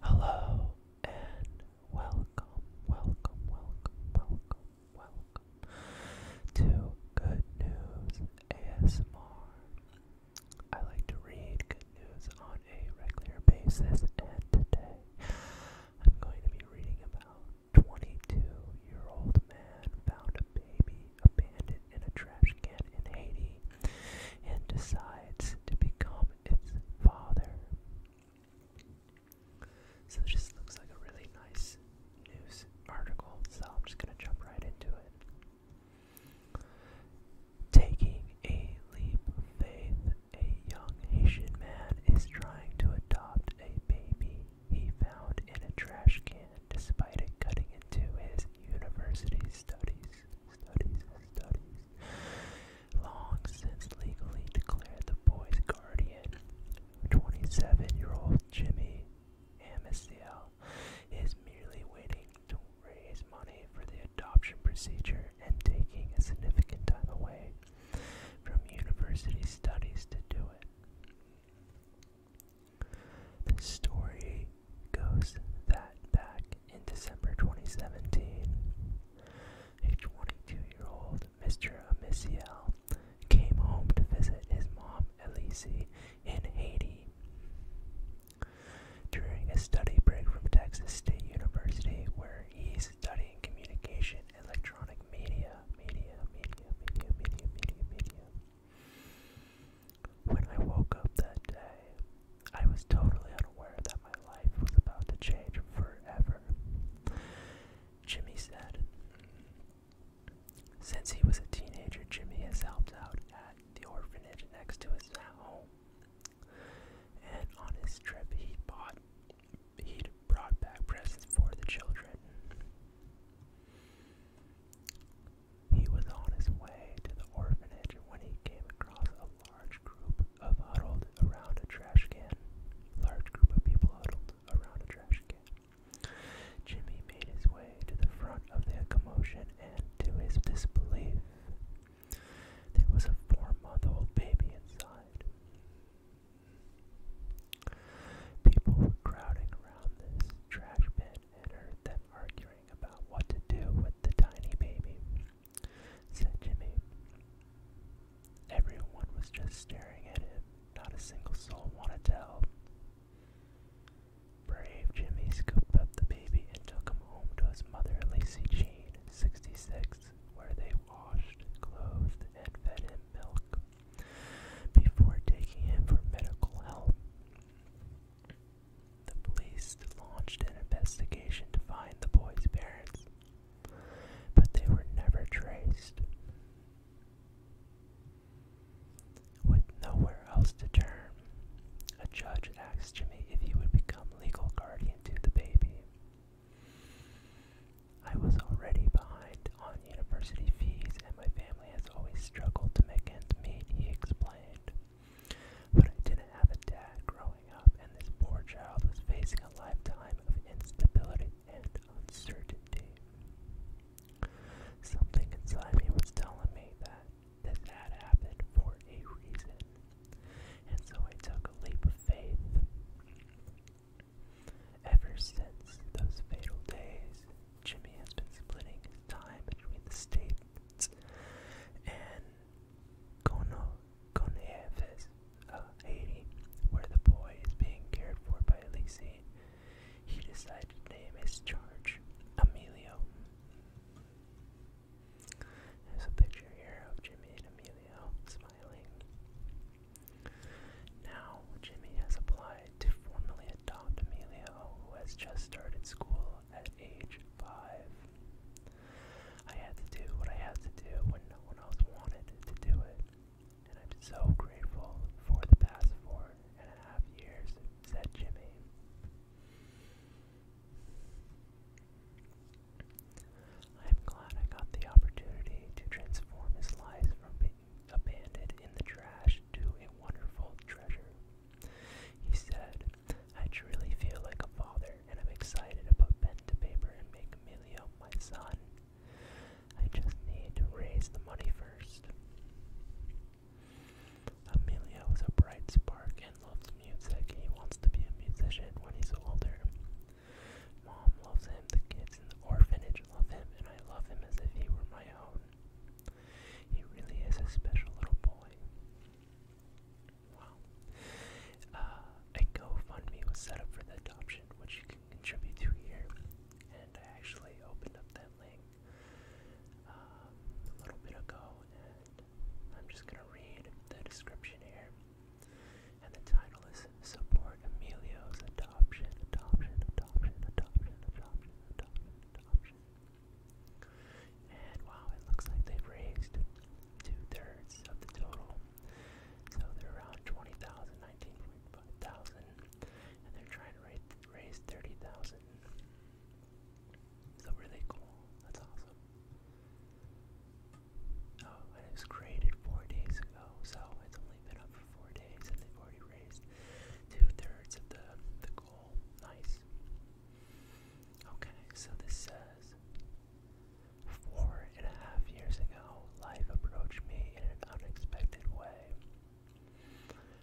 Hello and welcome, welcome, welcome, welcome, welcome to Good News ASMR. I like to read good news on a regular basis, and today I'm going to be reading about 22 year old man found a baby abandoned in a trash can in Haiti and decides to become its father. So this just looks like a really nice news article, so I'm just going to jump right into it. Taking a leap of faith, a young Haitian man is trying to adopt a baby he found in a trash can despite it cutting into his university studies studies, studies. Long since legally declared the boy's guardian, 27-year-old Jimmy Amisiel is merely waiting to raise money for the adoption procedure and taking a significant time away from university studies to do it. This story goes that back in December 2017. A 22 year old Mr. Amisiel came home to visit his mom, Elise, in Haiti. During a study break from Texas State University, where he's studying communication, electronic media, media, media, media, media, media, media. When I woke up that day, I was totally unaware that my life was about to change forever. Jimmy said. Since he was a teenager, Jimmy has helped out at the orphanage next to his home. And on his trip, he bought, he brought back presents for the children. He was on his way to the orphanage when he came across a large group of huddled around a trash can. Large group of people huddled around a trash can. Jimmy made his way to the front of the commotion and, to his disbelief, there was a four-month-old baby inside. People were crowding around this trash bin and heard them arguing about what to do with the tiny baby said Jimmy. Everyone was just staring at him. Not a single soul wanted to help. Brave Jimmy scooped up the baby and took him home to his mother, Lacy Jean, 66, where they washed, clothed, and fed him milk before taking him for medical help. The police launched an investigation to find the boy's parents, but they were never traced. With nowhere else to turn, a judge asked Jimmy if he would become legal guardian to the baby. I was already behind on university fees, and my family has always struggled to make ends meet, he explained. But I didn't have a dad growing up, and this poor child was facing a lifetime of instability and uncertainty. Something inside me was telling me that this had happened for a reason, and so I took a leap of faith. Ever since those fatal days, Jimmy has been splitting time between the states and Conaephus of uh, Haiti, where the boy is being cared for by Elise, he decided to name his charge Emilio. There's a picture here of Jimmy and Emilio smiling. Now, Jimmy has applied to formally adopt Emilio, who has just started school at age five. I had to do what I had to do when no one else wanted to do it, and I'm so grateful for the past four and a half years, said Jimmy. I'm glad I got the opportunity to transform his life from being abandoned in the trash to a wonderful treasure, he said, I truly feel like a father, and I'm excited to pen to paper and make Emilio my son. I just need to raise the money first. Emilio is a bright spark and loves music. He wants to be a musician when he's older. Mom loves him, the kids in the orphanage love him, and I love him as if he were my own. He really is a special little boy. Wow. Uh, a GoFundMe was set up for the adoption, which you can contribute to here. And I actually opened up that link um, a little bit ago, and I'm just going to read the description here. And the title is Support Emilio's Adoption, Adoption, Adoption, Adoption. adoption. And wow, it looks like they've raised two-thirds of the total. So they're around 20,000, and they're trying to raise 30,000. So really cool. That's awesome. Oh, it was created four days ago, so it's only been up for four days, and they've already raised two-thirds of the, the goal. Nice. Okay, so this says four and a half years ago, life approached me in an unexpected way.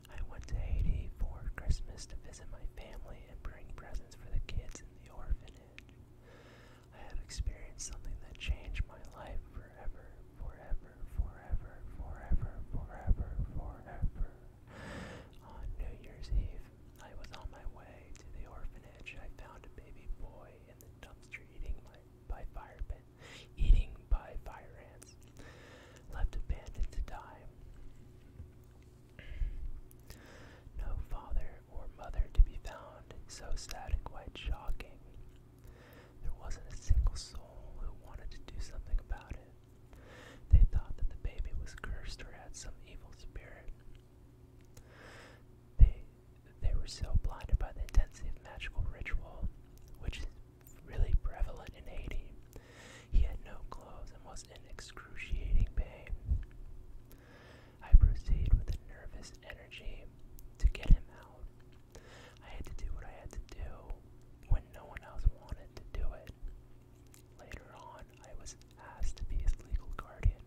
I went to Haiti for Christmas to visit my family and bring presents for the kids in the orphanage. I have experienced something that changed my life forever, forever, forever, forever, forever, forever. On New Year's Eve, I was on my way to the orphanage. I found a baby boy in the dumpster eating my, by fire pit, eating by fire ants, left abandoned to die. No father or mother to be found, so sad and quite shocking. There wasn't a single soul who wanted to do something about it. They thought that the baby was cursed or had some evil spirit. They they were so blinded by the intensity of magical ritual, which is really prevalent in Haiti. He had no clothes and was in excruciating pain. I proceeded with a nervous energy to get him out. I had to do what I had to do when no one else wanted to do it. Later on, I was asked to be his legal guardian.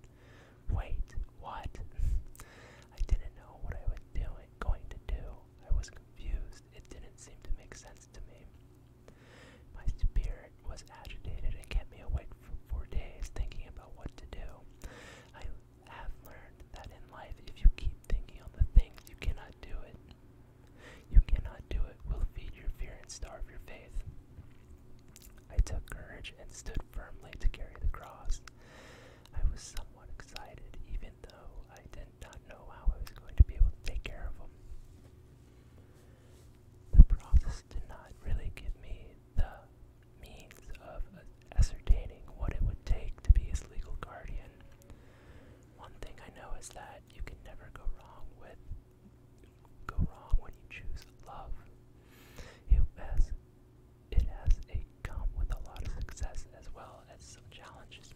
Wait, what? I didn't know what I was doing, going to do. I was confused. It didn't seem to make sense to me. My spirit was agitated and kept me awake for four days thinking about what to do. I have learned that in life, if you keep thinking on the things, you cannot do it. You cannot do it will feed your fear and starve your faith. I took courage and stood firmly to carry the cross. I was somewhat excited, even though I did not know how I was going to be able to take care of him. The process did not really give me the means of ascertaining what it would take to be his legal guardian. One thing I know is that you can never go wrong with go wrong when you choose love. It has, it has come with a lot of success as well as some challenges.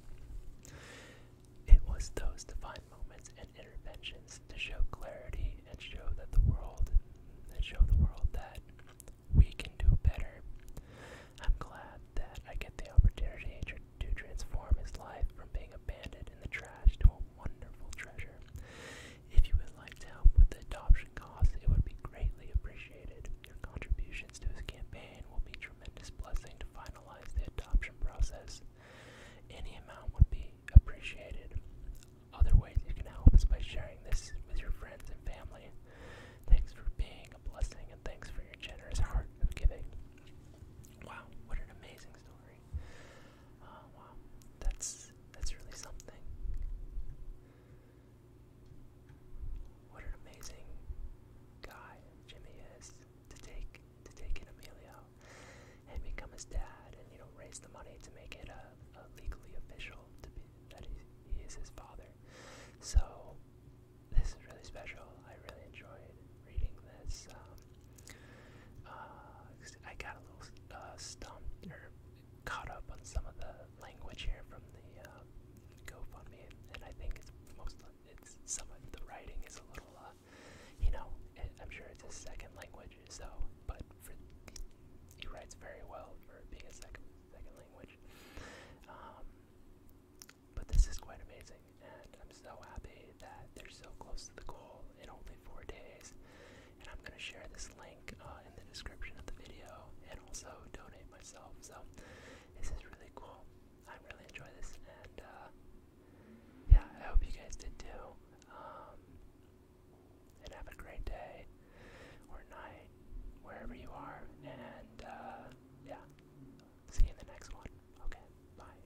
It was those divine moments and interventions to show clarity and show that the world that show the world that we can do better. I'm glad that I get the opportunity to transform his life from being abandoned in the trash to a wonderful, treasure. If you would like to help with the adoption costs, it would be greatly appreciated. Your contributions to his campaign will be tremendous blessing to finalize the adoption process. Any amount would be appreciated. Other ways you can help is by sharing this with your friends and family. Thanks for being a blessing and thanks for your generous heart of giving. Wow, what an amazing story. Oh, wow, that's that's really something. What an amazing guy Jimmy is to take to take in Emilio and become his dad, and you know raise the money to make it a, legally official to be that he, he is his father. So this is really special. I really enjoyed reading this. Um, uh, I got a little uh, stumped or caught up on some of the language here from the uh, GoFundMe, and, I think it's most it's some the writing is a little, you know, I'm sure it's a second language, so but he writes very well for being a second second language. Um, but this is quite amazing, and I'm so happy that they're so close to the goal in only four days. And I'm going to share this link uh, in the description of the video and also donate myself. So this is really cool. I really enjoy this, and uh, yeah, I hope you guys did too. Um, and have a great day or night, wherever you are. And uh, yeah, see you in the next one. Okay, bye.